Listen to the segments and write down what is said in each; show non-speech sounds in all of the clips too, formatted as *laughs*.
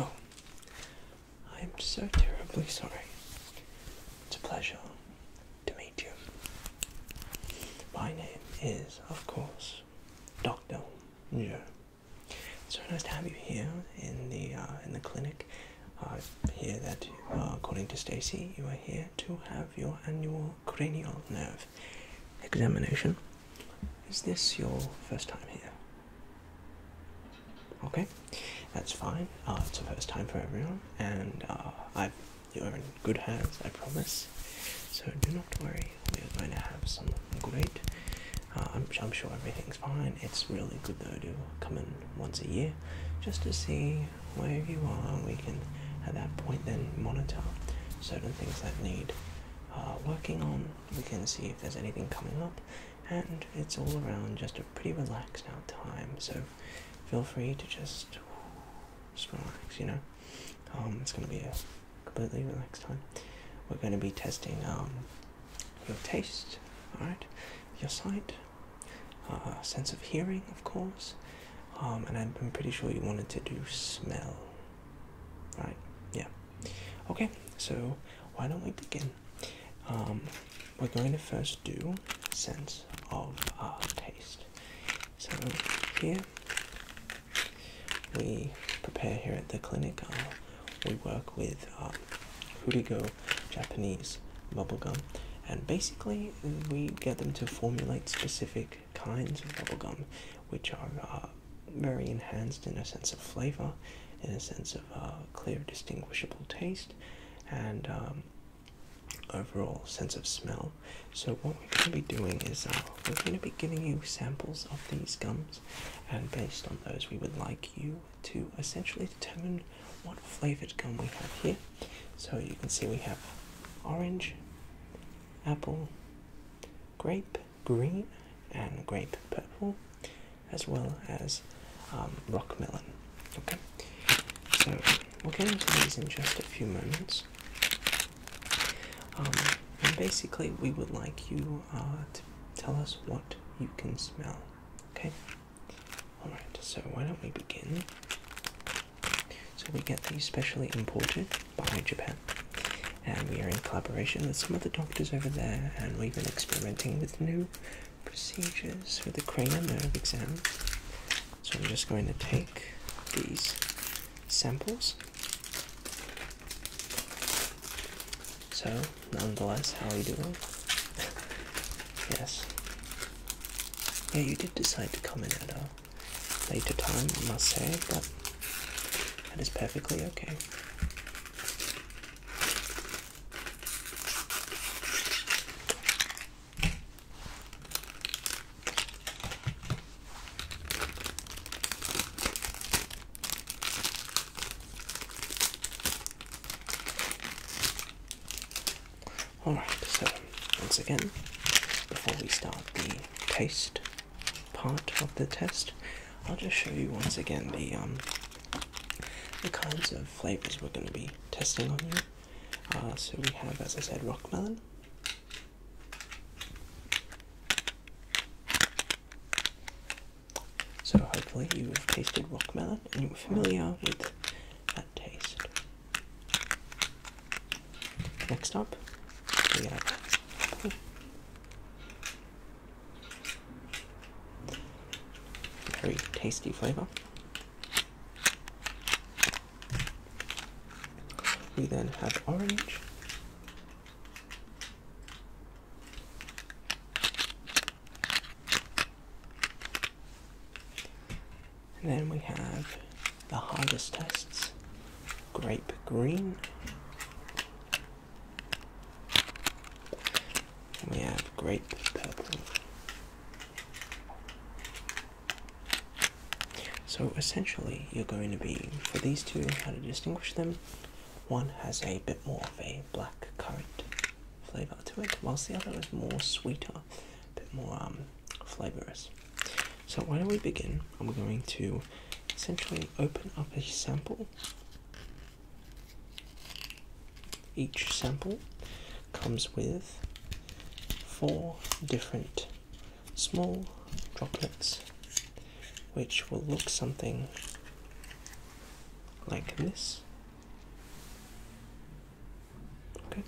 Oh, I am so terribly sorry. It's a pleasure to meet you. My name is, of course, Dr. Joe so nice to have you here in the uh, in the clinic. I uh, hear that, uh, according to Stacy, you are here to have your annual cranial nerve examination. Is this your first time here? Okay, that's fine. it's the first time for everyone, and I, you are in good hands, I promise. So do not worry. We are going to have some great uh, I'm, sure everything's fine. It's really good though to come in once a year just to see where you are. We can at that point then monitor certain things that need uh, working on. We can see if there's anything coming up, and it's all around just a pretty relaxed out time. So feel free to just, relax, you know. Um, it's going to be a completely relaxed time. We're going to be testing. Um, your taste, alright, your sight, uh, sense of hearing, of course, um, and I'm, pretty sure you wanted to do smell, right? Yeah. Okay, so why don't we begin? Um, we're going to first do sense of uh, taste. So here we prepare here at the clinic uh, we work with um, Japanese bubble gum, and basically we get them to formulate specific kinds of bubble gum, which are uh, very enhanced in a sense of flavor, in a sense of uh, clear, distinguishable taste, and um, overall sense of smell. So, what we're going to be doing is uh, we're going to be giving you samples of these gums, and based on those, we would like you to essentially determine what flavored gum we have here. So you can see we have orange, apple, grape, green, and grape purple, as well as um, rockmelon. Okay, so we'll get into these in just a few moments. Um, and basically, we would like you uh, to tell us what you can smell. Okay. All right. So why don't we begin? So we get these specially imported by Japan, and we are in collaboration with some of the doctors over there, and we've been experimenting with new procedures for the cranial nerve exam. So I'm just going to take these samples so, nonetheless, how are you doing? *laughs* yes. Yeah, you did decide to come in at a later time, I must say, but that is perfectly okay. Alright, so once again, before we start the taste part of the test, I'll just show you once again the um the kinds of flavors we're going to be testing on you. Uh, so we have, as I said, rockmelon. So hopefully you've tasted rockmelon and you're familiar with that taste. Next up, Very tasty flavour. We then have orange. And then we have the hardest tests grape green. we have grape purple. So essentially, you're going to be, for these two, how to distinguish them, one has a bit more of a black currant flavour to it, whilst the other is more sweeter, a bit more um, flavourous. So why don't we begin? I'm going to essentially open up a sample. Each sample comes with four different small droplets which will look something like this Okay.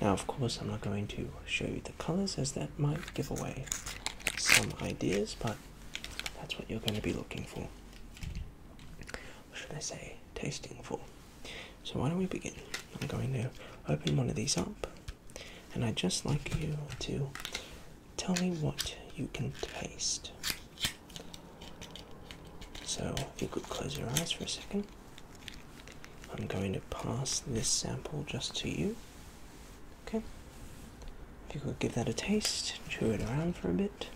Now, of course, I'm not going to show you the colors as that might give away some ideas, but that's what you're going to be looking for. Or should I say, tasting for? So, why don't we begin? I'm going to open one of these up, and I'd just like you to tell me what you can taste. So if you could close your eyes for a second, I'm going to pass this sample just to you. Okay? If you could give that a taste, chew it around for a bit.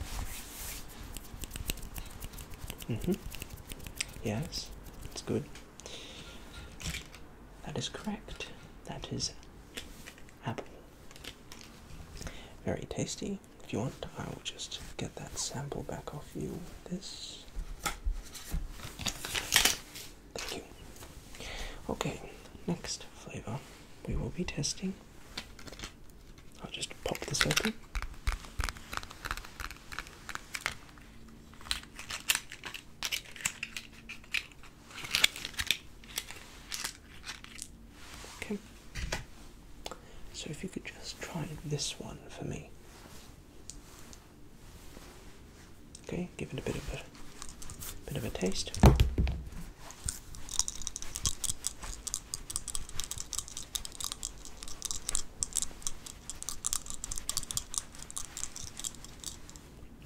Mm-hmm. Yes, it's good. That is correct. That is apple. Very tasty if you want, I will just get that sample back off you with this. Thank you. Okay, next flavor we will be testing. I'll just pop this open. Okay. So if you could just try this one for me. Okay, give it a bit of a bit of a taste.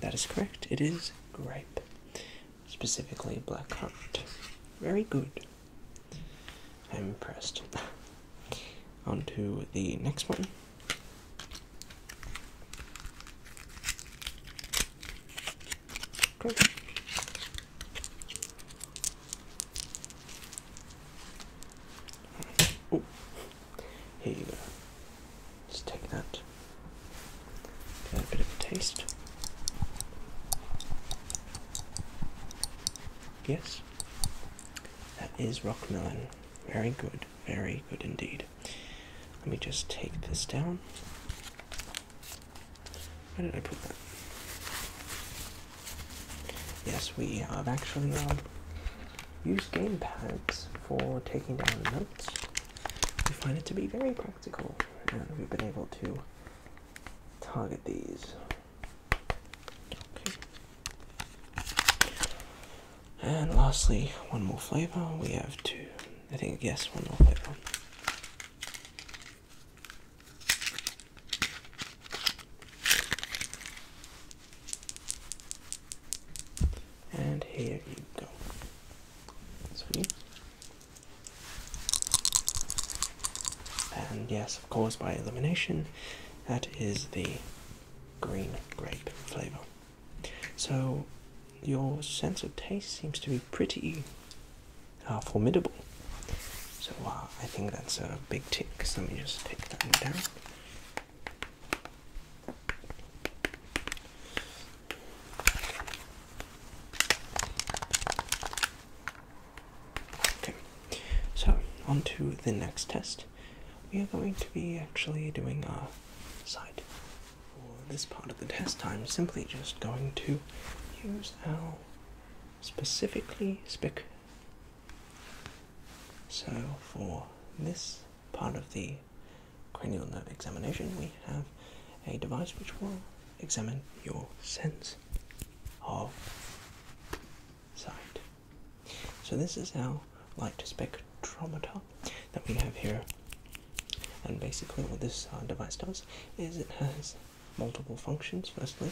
That is correct. It is grape specifically Black Heart. Very good. I'm impressed. *laughs* On to the next one. Okay. here you go. Let's take that. Get a bit of a taste. Yes, that is Rockmelon. Very good, very good indeed. Let me just take this down. Where did I put that? Yes, we have actually uh, used gamepads for taking down notes. We find it to be very practical, and we've been able to target these. Okay. And lastly, one more flavor. We have two. I think yes, one more flavor. And here you go. So and yes, of course, by elimination, that is the green grape flavor. So, your sense of taste seems to be pretty uh, formidable. So, uh, I think that's a big tick. let me just tick that one down. Okay, so on to the next test. We are going to be actually doing a side for this part of the test. I'm simply just going to use our specifically spic. So for this part of the cranial nerve examination, we have a device which will examine your sense of So this is our light spectrometer that we have here. And basically what this uh, device does is it has multiple functions. Firstly,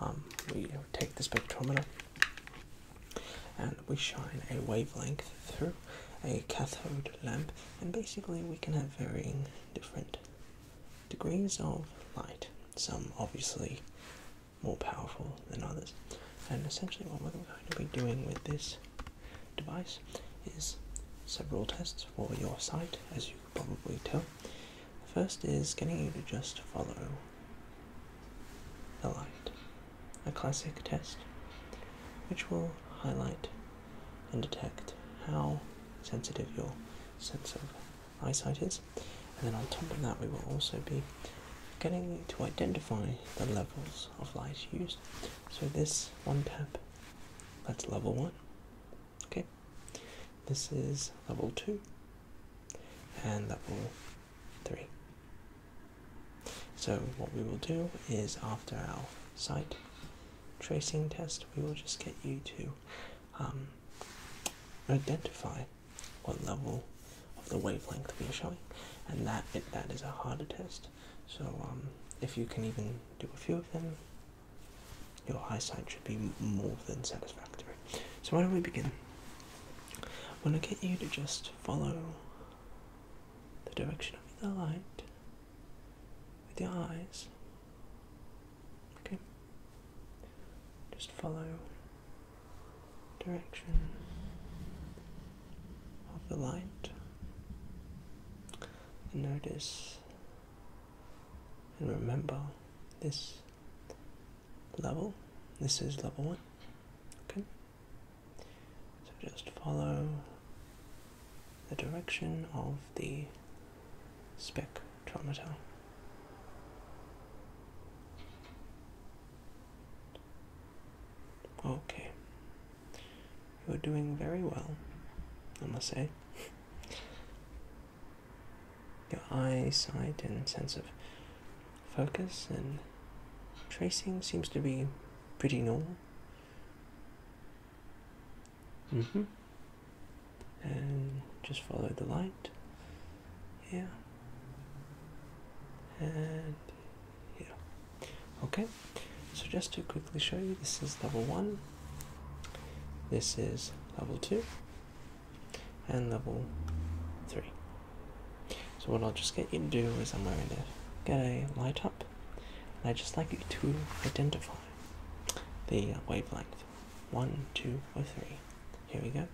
um, we take the spectrometer and we shine a wavelength through a cathode lamp and basically we can have varying different degrees of light, some obviously more powerful than others. And essentially, what we're going to be doing with this device is several tests for your sight, as you probably tell. The first is getting you to just follow the light, a classic test which will highlight and detect how sensitive your sense of eyesight is. And then on top of that, we will also be getting to identify the levels of light used. So this one tap, that's level one. Okay, this is level two and level three. So what we will do is after our sight tracing test, we will just get you to um, identify what level of the wavelength we are showing, and that that is a harder test. So um, if you can even do a few of them, your eyesight should be more than satisfactory. So why don't we begin? i want to get you to just follow the direction of the light with your eyes Okay. Just follow direction of the light and notice and remember this level. This is level one. Okay. So just follow the direction of the spectrometer. Okay. You're doing very well, I must say. Your eyesight and sense of focus and tracing seems to be pretty normal. Mm hmm And just follow the light. Yeah. And yeah. Okay. So just to quickly show you, this is level one. This is level two. And level three. So what I'll just get you to do is I'm going to get a light up. And I just like you to identify the wavelength. One, two, or three. Here we go.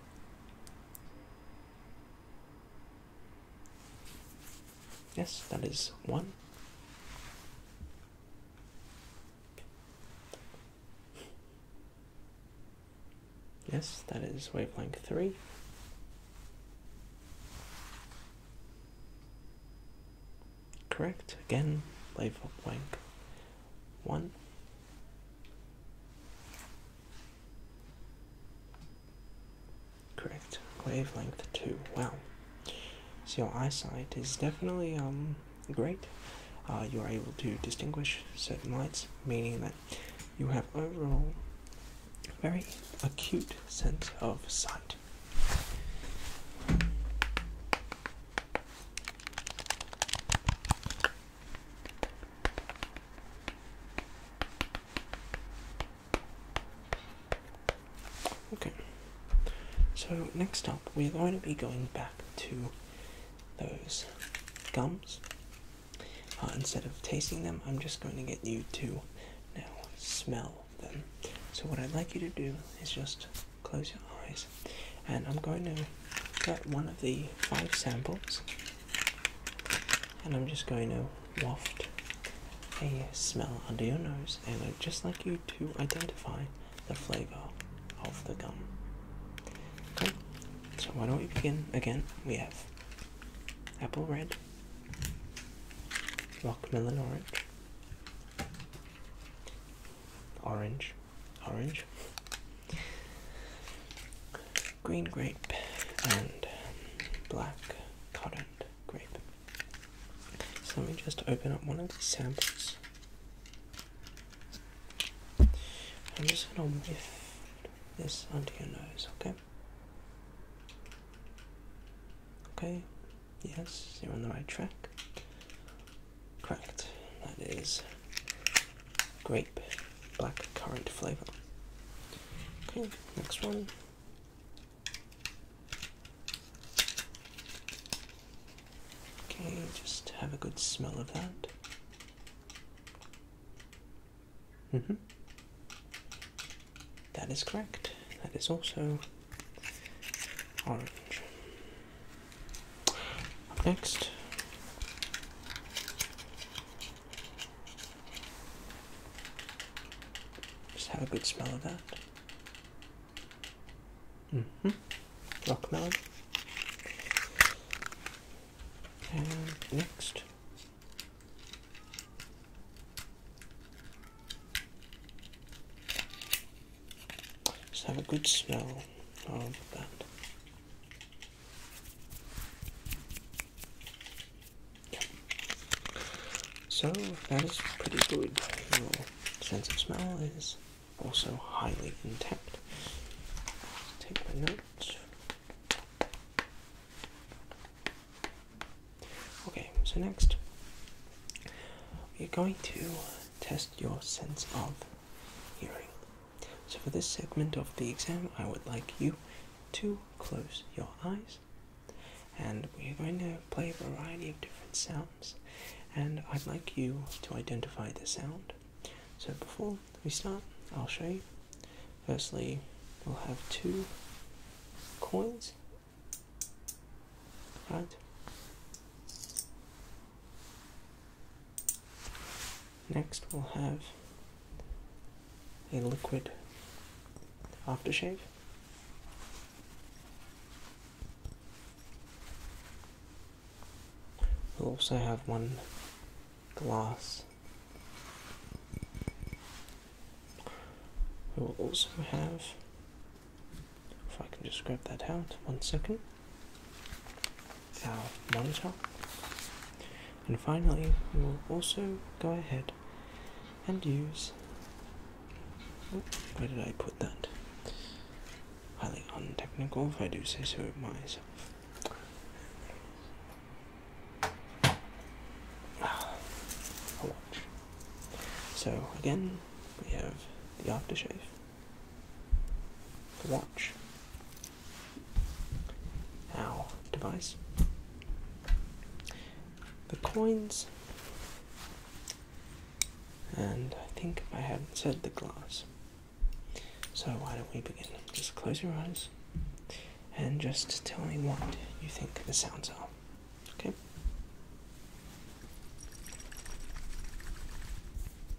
Yes, that is one. Yes, that is wavelength three. Correct. Again, label one. Correct. Wavelength two. Well, So your eyesight is definitely um great. Uh, you are able to distinguish certain lights, meaning that you have overall very acute sense of sight. Okay, so next up we're going to be going back to those gums. Uh, instead of tasting them, I'm just going to get you to now smell them. So, what I'd like you to do is just close your eyes and I'm going to get one of the five samples and I'm just going to waft a smell under your nose and I'd just like you to identify the flavor of the gum. Okay, so why don't we begin again? We have apple red, rockmelon orange, Orange, orange, green grape, and black cotton grape. So let me just open up one of these samples. I'm just gonna whiff this onto your nose, okay? Okay, yes, you're on the right track. Correct. That is grape black currant flavor. Okay, next one. Okay, just have a good smell of that. Mm -hmm. That is correct. That is also orange. Next. Just have a good smell of that. Mm hmm Rock now. And next. Let's have a good smell of that. So that is pretty good. Your sense of smell is also highly intact. take my notes. Okay, so next we're going to test your sense of hearing. So, for this segment of the exam, I would like you to close your eyes and we're going to play a variety of different sounds. And I'd like you to identify the sound. So, before we start, I'll show you. Firstly, we'll have two coins. right? Next, we'll have a liquid aftershave. We'll also have one glass. We'll also have, if I can just grab that out, one second our monitor and finally we will also go ahead and use oh, where did I put that? Highly untechnical if I do say so myself. Ah, a watch. So again we have the aftershave watch our device. The coins, and I think I have not said the glass. So, why don't we begin? Just close your eyes and just tell me what you think the sounds are. Okay?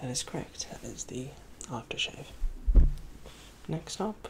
That is correct, that is the aftershave. Next up,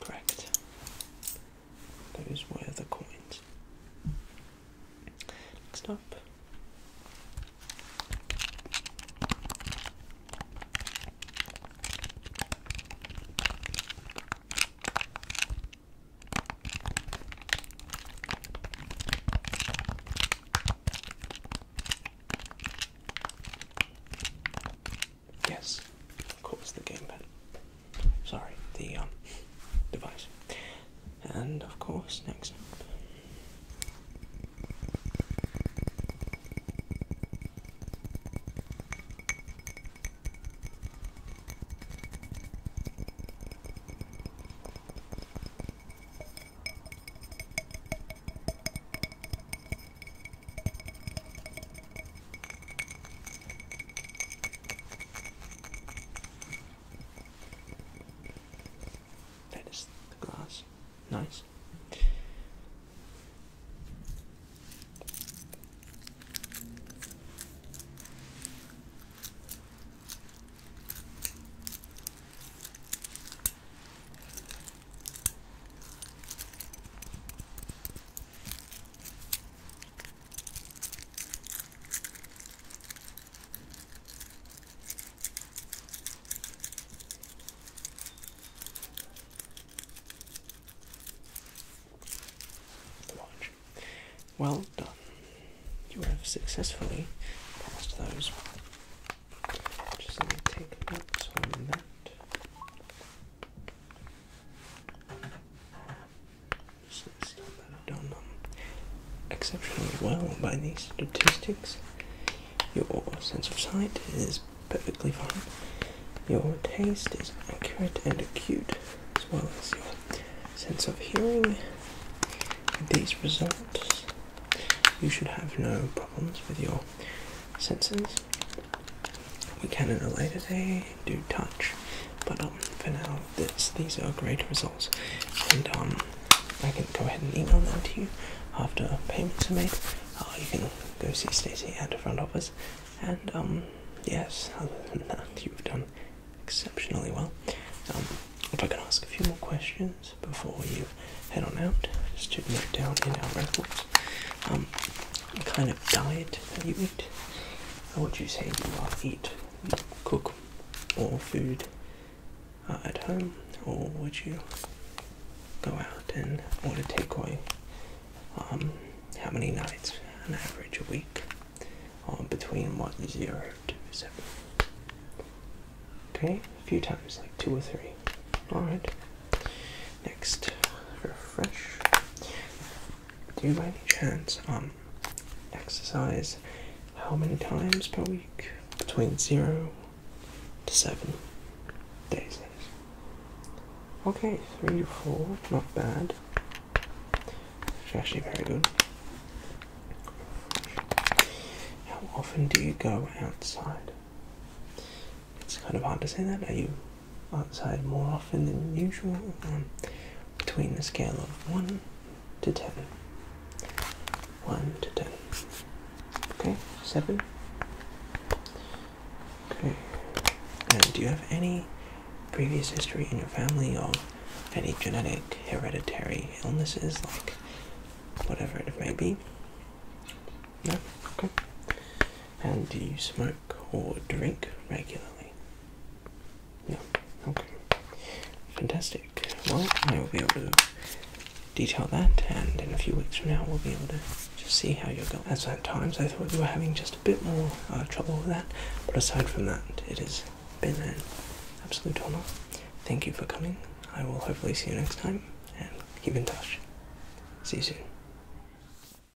Correct. Those were the coins. Next up. Yes, of course, the gamepad. Sorry, the um, device. And of course, next. That is the glass. Nice. Well done. You have successfully passed those. Just let me take notes on that exceptionally well by these statistics, your sense of sight is perfectly fine. Your taste is accurate and acute, as well as your sense of hearing. With these results, you should have no problems with your senses. We can in a later day do touch, but um, for now, this, these are great results, and um, I can go ahead and email them to you after payments are made. Uh, you can go see Stacey at the front office, and um, yes, *laughs* other than that, you've done exceptionally well. if I can ask a few more questions before you head on out, just to note down in our records um, kind of diet that you eat how would you say you eat cook or food uh, at home or would you go out and order takeaway um, how many nights on average a week um, between what zero to seven okay a few times like two or three all right next refresh do you by any chance um, exercise how many times per week? Between zero to seven days. Okay, three to four, not bad. actually very good. How often do you go outside? It's kind of hard to say that. Are you outside more often than usual um, between the scale of 1 to 10. 1 to 10. Okay, 7. Okay. do you have any previous history in your family of any genetic hereditary illnesses, like whatever it may be? No? Okay. And do you smoke or drink regularly? No. Okay. Fantastic. Well, I will be able to detail that, and in a few weeks from now, we'll be able to just see how you're going. As at times, I thought you were having just a bit more uh, trouble with that, but aside from that, it has been an absolute honor. Thank you for coming. I will hopefully see you next time, and keep in touch. See you soon.